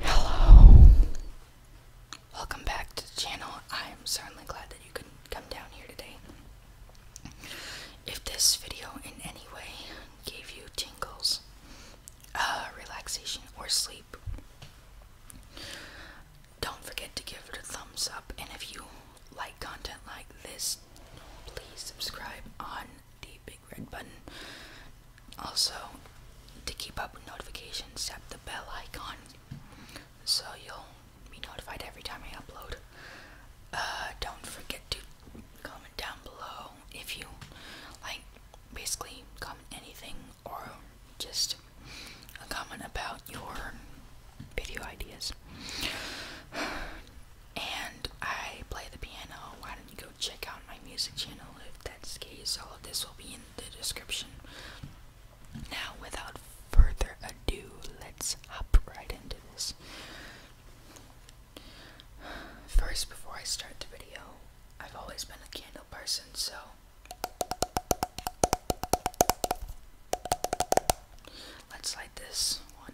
Hello. Welcome back to the channel. I'm certainly glad that you could come down here today. If this video in any way gave you tingles, uh, relaxation, or sleep, don't forget to give it a thumbs up. And if you like content like this, please subscribe on the big red button. Also, to keep up with notifications, tap the bell icon so you'll be notified every time I upload. Uh, don't forget to comment down below if you like basically comment anything or just a comment about your video ideas and I play the piano. Why don't you go check out my music channel if that's the case? All of this will be in the description. Now, without further ado, let's hop right into this. First, before I start the video, I've always been a candle person, so. Let's light this one.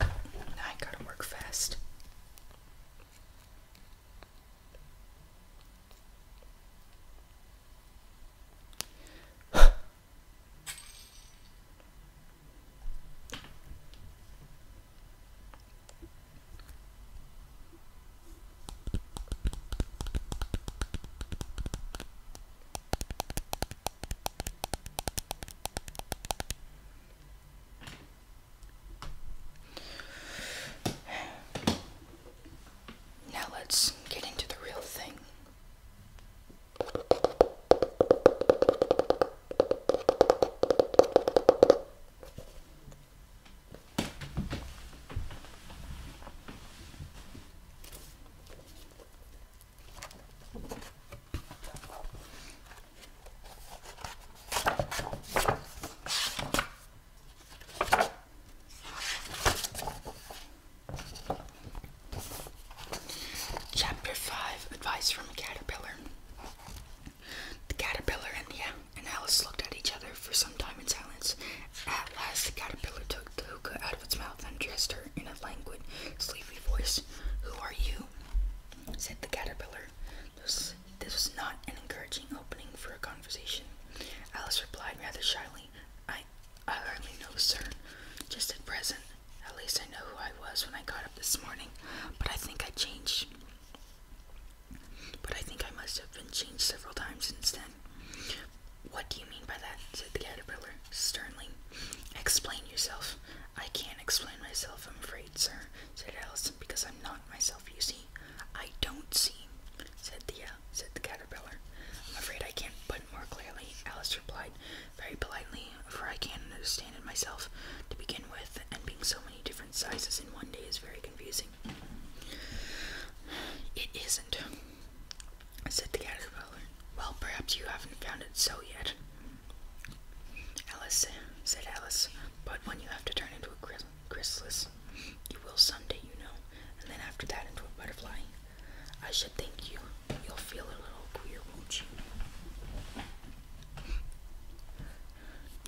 I gotta work fast. Now let's get into the real thing. Chapter 5 Advice from a Caterpillar. The caterpillar and the and Alice looked at each other for some time in silence. At last, the caterpillar took the out of its mouth and addressed her in a languid, sleepy voice. Who are you? said the caterpillar. This, was not an encouraging opening for a conversation. Alice replied rather shyly, I, I hardly know, sir. Just at present. At least I know who I was when I got up this morning, but I think I changed. But I think I must have been changed several times since then. What do you?" do mean by that? said the caterpillar sternly. Explain yourself. I can't explain myself, I'm afraid, sir, said Alice, because I'm not myself, you see. I don't see, said the, uh, said the caterpillar. I'm afraid I can't put it more clearly, Alice replied very politely, for I can't understand it myself to begin with, and being so many different sizes in one day is very confusing. It isn't, said the caterpillar. Well, perhaps you haven't found it so yet. Alice, said Alice, but when you have to turn into a chrysalis, you will someday, you know, and then after that into a butterfly. I should think you, you'll feel a little queer, won't you?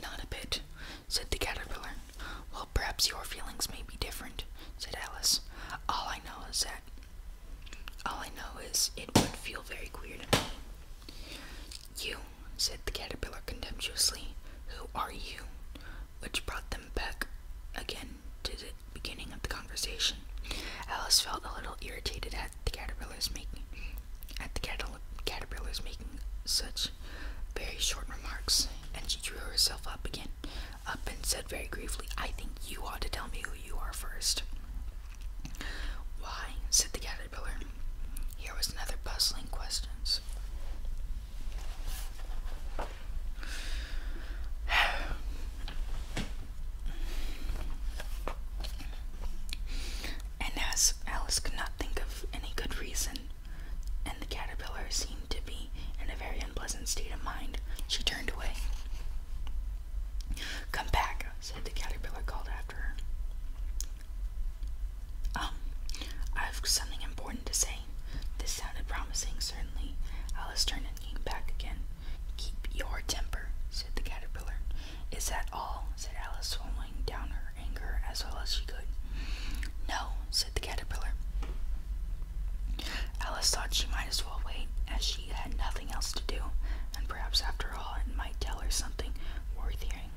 Not a bit, said the caterpillar. Well, perhaps your feelings may be different, said Alice. All I know is that all I know is it would feel very queer to me. You, said the caterpillar contemptuously, who are you? Which brought them back again to the beginning of the conversation. Alice felt a little irritated at the caterpillar's making at the caterpillar caterpillars making such very short remarks, and she drew herself up again, up and said very gravely, I think you ought to tell me who you are first. Why? said the caterpillar. Here was another puzzling question. and as Alice could not think of any good reason, and the caterpillar seemed to be in a very unpleasant state of mind, she turned away. Come back, said the caterpillar called after her. Um, I've something important to say. This sounded promising, certainly. Alice turned and came back again. Keep your temper, said the caterpillar. Is that all? said Alice, swallowing down her anger as well as she could. No, said the caterpillar. Alice thought she might as well wait, as she had nothing else to do, and perhaps after all it might tell her something worth hearing.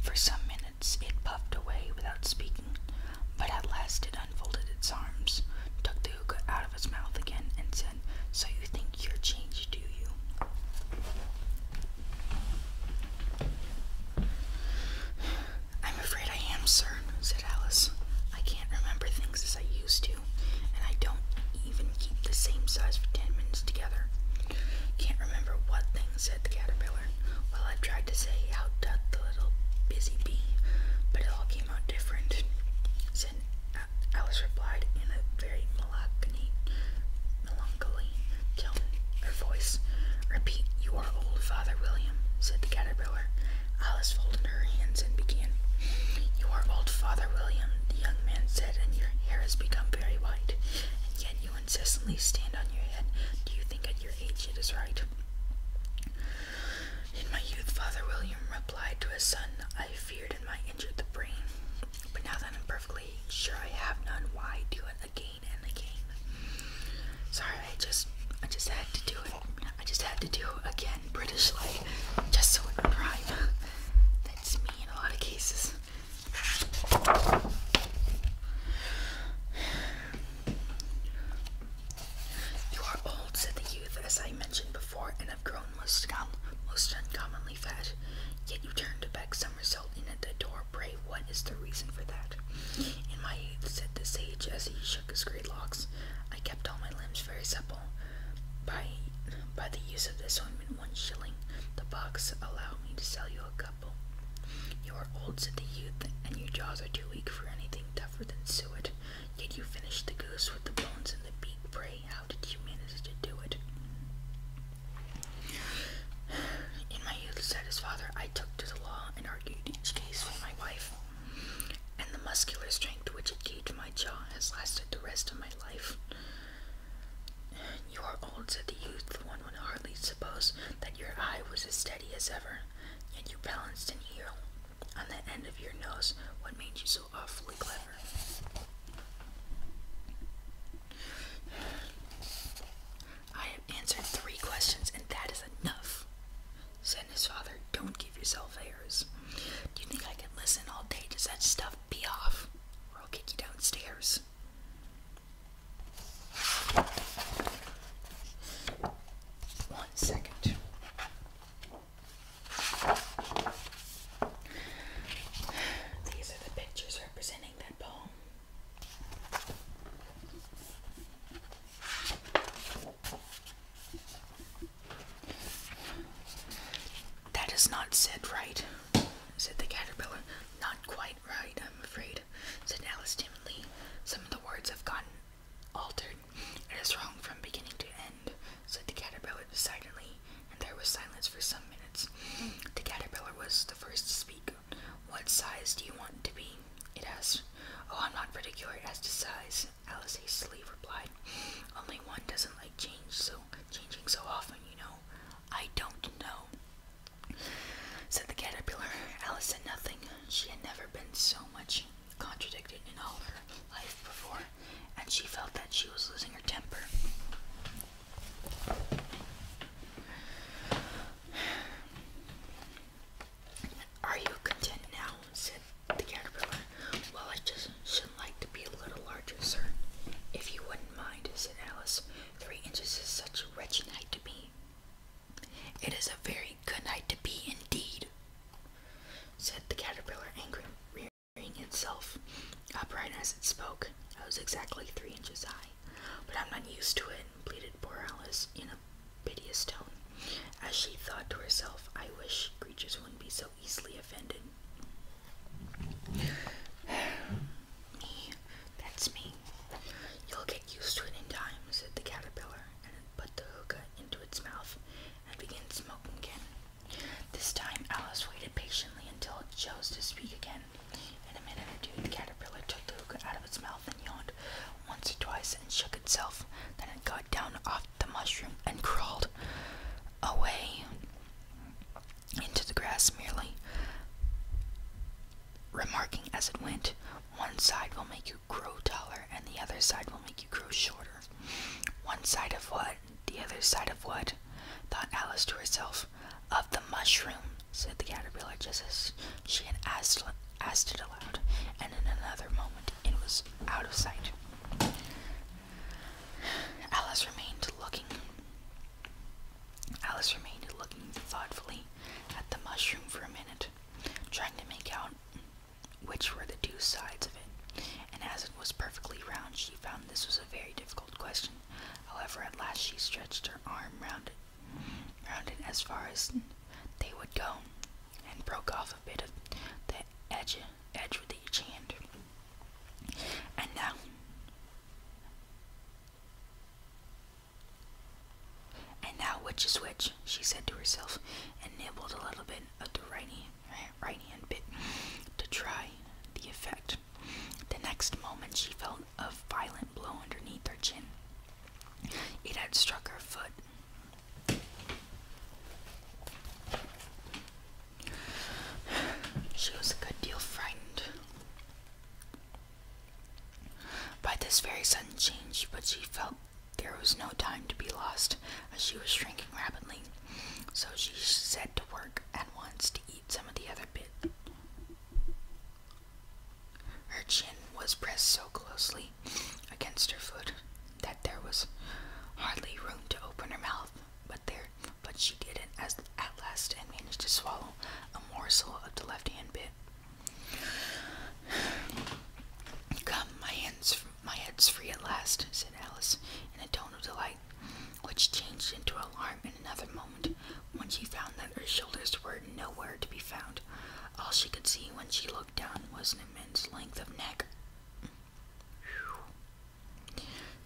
For some minutes it puffed away without speaking, but at last it unfolded its arms, took the hookah out of its mouth again, and said, So you think you're changed, do you? I'm afraid I am, sir, said Alice. I can't remember things as I used to and I don't even keep the same size for 10 minutes together. Can't remember what thing, said the caterpillar. Well, I tried to say how doth the little busy bee, but it all came out different, said uh, Alice replied in a very melancholy, melancholy tone. Her voice. Repeat, you are old, Father William, said the caterpillar, Alice folded her hands and began. You are old, Father William, the young man said, and your hair has become very white, and yet you incessantly stand on your head. Do you think at your age it is right? In my youth, Father William replied to his son, I feared it might injure the brain. But now that I'm perfectly sure I have none, why do it again and again? Sorry, I just I just had to do it. I just had to do again British like just so it would rhyme. That's me in a lot of cases. You are old, said the youth, as I mentioned before, and have grown most, most uncommonly fat. Yet you turn to beg some result in at the door. Pray, what is the reason for that? In my youth, said the sage, as he shook his grey locks, I kept all my limbs very supple. By by the use of this ointment one shilling the box allow me to sell you a couple you are old said the youth and your jaws are too weak for anything tougher than suet yet you finished the goose with the bones and the beak pray how did you manage to do it in my youth said his father i took to the law and argued each case with my wife and the muscular strength which it gave my jaw has lasted the rest of my life. You are old, said the youth. one would hardly suppose that your eye was as steady as ever, yet you balanced an ear on the end of your nose. What made you so awfully clever? I have answered three questions, and that is enough, said his father. Don't give yourself airs. Do you think I can listen all day? Does that stuff be off? Or I'll kick you downstairs. One second. These are the pictures representing that poem. That is not said right, said the caterpillar. Not quite right, I'm afraid, said Alice timidly. Some of the words have gotten altered. It is wrong from beginning to end, said the caterpillar decidedly, and there was silence for some minutes. The caterpillar was the first to speak. What size do you want to be? It asked. Oh, I'm not particular as to size, Alice's sleeve replied. Only one doesn't like change so changing so often, you know. I don't know. Said the caterpillar. Alice said nothing. She had never been so much contradicted in all her life before, and she felt that she was losing her temper. Are you content now? The caterpillar. Well, I just shouldn't like to be a little larger, sir. If you wouldn't mind, said Alice. Three inches is such a wretched height to be. It is a very good height to be, indeed, said the caterpillar, angry, rearing itself upright as it spoke. I was exactly three inches high. But I'm not used to it, pleaded poor Alice in a piteous tone, as she thought to herself, I wish creatures wouldn't be so easily offended. me, that's me. You'll get used to it in time, said the caterpillar, and put the hookah into its mouth and began smoking again. This time Alice waited patiently until it chose to speak again. In a minute or two, the caterpillar took the hookah out of its mouth and yawned once or twice and shook itself. Then it got down off the mushroom and crawled away into the grass merely, remarking as it went, one side will make you grow taller and the other side will make you grow shorter. One side of what? The other side of what? thought Alice to herself. Of the mushroom, said the caterpillar just as she had asked, it aloud, and in another moment it was out of sight. Alice remained looking. Alice remained looking thoughtfully at the mushroom for a minute, trying to make out which were the two sides of it. And as it was perfectly round, she found this was a very difficult question. However, at last she stretched her arm round it, round it as far as they would go, and broke off a bit of the edge edge with each hand. And now, uh, and now which is which, she said to herself, and nibbled a little bit of the right hand, right hand bit to try the effect. The next moment, she felt a violent blow underneath her chin. It had struck her foot. She was a good deal frightened by this very sudden change, but she felt there was no time to be lost as she was shrinking rapidly, so she set to work at once to eat some of the other bit. Her chin was pressed so closely against her foot that there was hardly room to open her mouth, but there but she did it as at last and managed to swallow a morsel of the left hand bit. Come, my hands my head's free at last, said Alice in a tone of delight, which changed into alarm in another moment when she found that her shoulders were nowhere to be found. All she could see when she looked down was an immense length of neck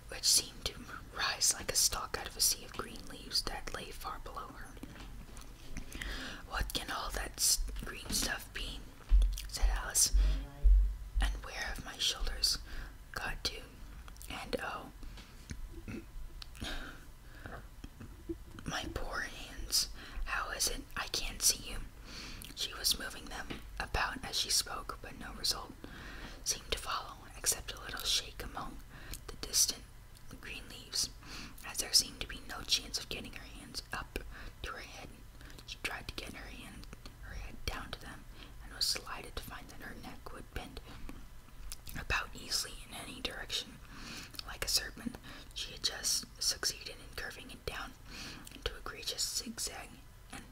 which seemed to rise like a stalk out of a sea of green leaves that lay far below her. What can all that green stuff be? said Alice. And where have my shoulders got to? And oh, my poor hands, how is it I can't see you? She was moving them about as she spoke, but no result seemed to follow, except a little shake among the distant green leaves. As there seemed to be no chance of getting her hands up to her head, she tried to get her hand, her head down to them, and was delighted to find that her neck would bend about easily in any direction. Like a serpent, she had just succeeded in curving it down into a gracious zigzag and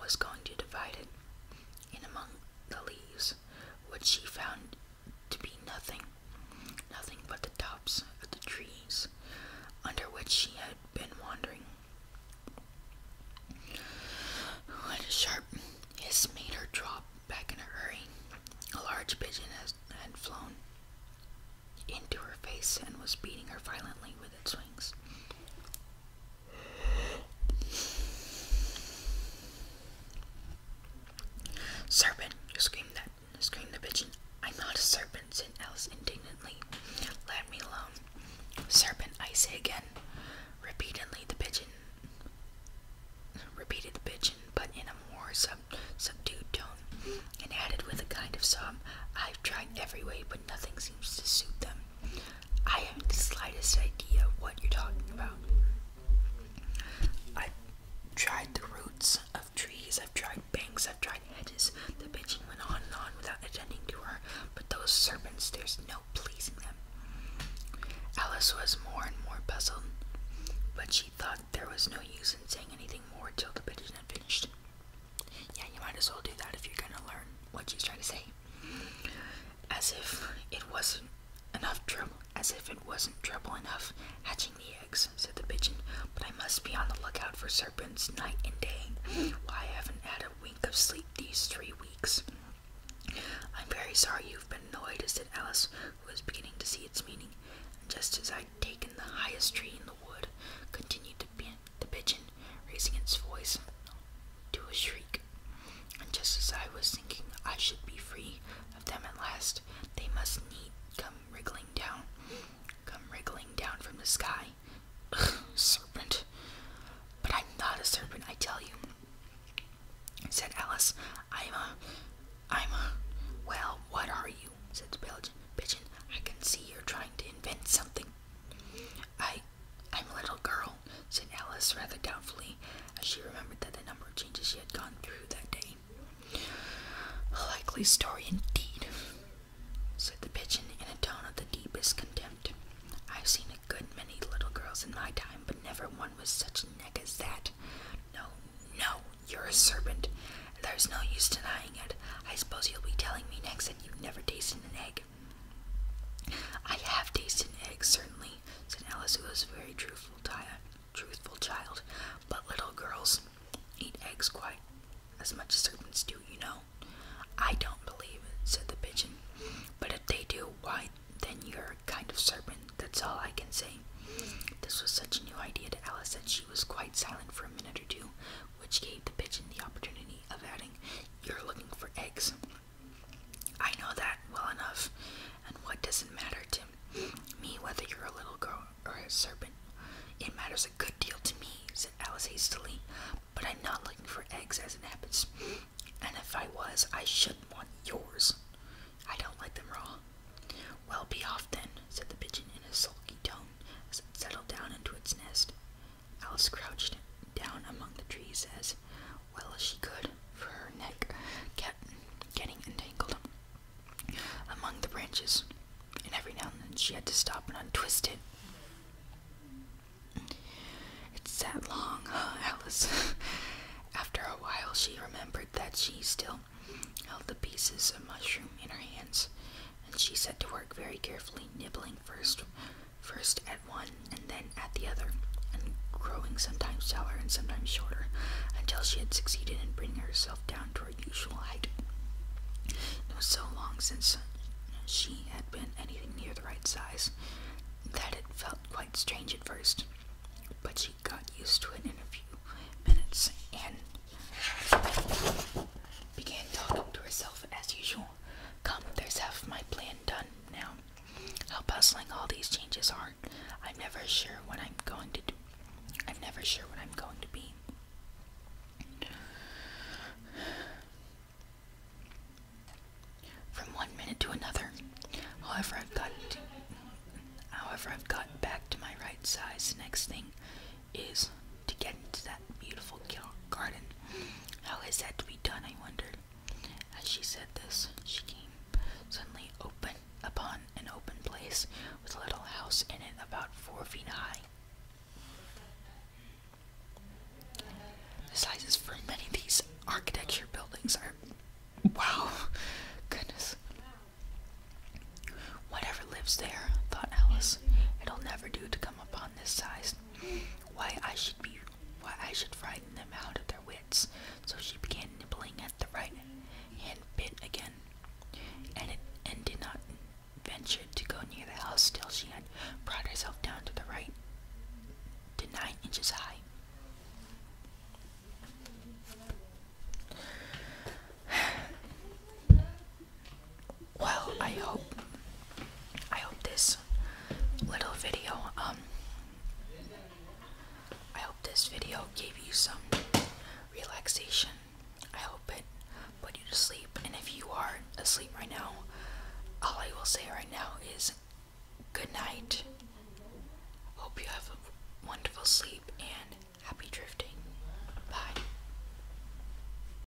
was going to divide it in among the leaves, which she found to be nothing, nothing but the tops of the trees under which she had been wandering. When a sharp hiss made her drop back in a hurry, a large pigeon had flown into her face and was beating her violently with Serpent, you screamed that screamed the pigeon. I'm not a serpent, said Alice indignantly. Let me alone. Serpent, I say again. Repeatedly the pigeon repeated the pigeon, but in a more sub subdued tone, and added with a kind of sob, I've tried every way but nothing seems to suit them. I haven't the slightest idea what you're talking about. I've tried the roots of trees, I've tried banks, I've tried hedges. The pigeon went on and on without attending to her, but those serpents, there's no pleasing them. Alice was more and more puzzled, but she thought there was no use in saying anything more till the pigeon had finished. Yeah, you might as well do that if you're gonna learn what she's trying to say. As if it wasn't enough trouble, as if it wasn't trouble enough hatching the eggs, said the pigeon. But I must be on the lookout for serpents night and day. Why, I haven't had a wink of sleep these three weeks. I'm very sorry you've been annoyed, said Alice, who was beginning to see its meaning. just as I'd taken the highest tree in the wood, continued the the pigeon, raising its voice to a shriek. And just as I was thinking I should be free of them at last, they must need come wriggling down, come wriggling down from the sky. Ugh, serpent. But I'm not a serpent, I tell you, said Alice. I'm a, I'm a, well, what are you? said the pigeon. I can see you're trying to invent something I, I'm a little girl, said Alice rather doubtfully, as she remembered that the number of changes she had gone through that day. A likely story indeed, said the pigeon in a tone of the deepest contempt. I've seen a good many little girls in my time, but never one with such a neck as that. No, no, you're a serpent. There's no use denying it. I suppose you'll be telling me next that you've never tasted an egg. I have tasted eggs, certainly, said Alice, who was a very truthful, truthful child. But little girls eat eggs quite as much as serpents do, you know. I don't believe it, said the pigeon. But if they do, why, then you're a kind of serpent, that's all I can say. This was such a new idea to Alice that she was quite silent for a minute or two which gave the pigeon the opportunity of adding, You're looking for eggs. I know that well enough, and what does it matter to me whether you're a little girl or a serpent? It matters a good deal to me, said Alice hastily, but I'm not looking for eggs as it happens, and if I was, I should want yours. I don't like them raw. Well, be off then, said the pigeon in a sulky tone as it settled down into its nest. Alice crouched down among the trees as well as she could, for her neck kept getting entangled among the branches, and every now and then she had to stop and untwist it. It's that long, Alice? After a while, she remembered that she still held the pieces of mushroom in her hands and she set to work very carefully, nibbling first first at one and then at the other, and growing sometimes taller and sometimes shorter, until she had succeeded in bringing herself down to her usual height. It was so long since she had been anything near the right size that it felt quite strange at first, but she got used to it in a few minutes and began talking to herself as usual. Come, there's half my plan done now. How puzzling all these changes are. I'm never sure what I'm going to do. I'm never sure what I'm going to be. From one minute to another. However, I've got however I've got back to my right size. Next thing is to get into that beautiful garden. How is that to be done? I wondered. As she said this, she came suddenly open upon an open place with a little house in it about four feet high. The sizes for many of these architecture buildings are wow, goodness. Whatever lives there, thought Alice, it'll never do to come upon this size why I should be why I should frighten them out of their wits. So she began nibbling at the right and bit again, and and did not venture to go near the house till she had brought herself down to the right to nine inches high well I hope I hope this little video um I hope this video gave you some relaxation I hope it put you to sleep and if you are asleep right now all I will say right now is good night hope you have a wonderful sleep and happy drifting bye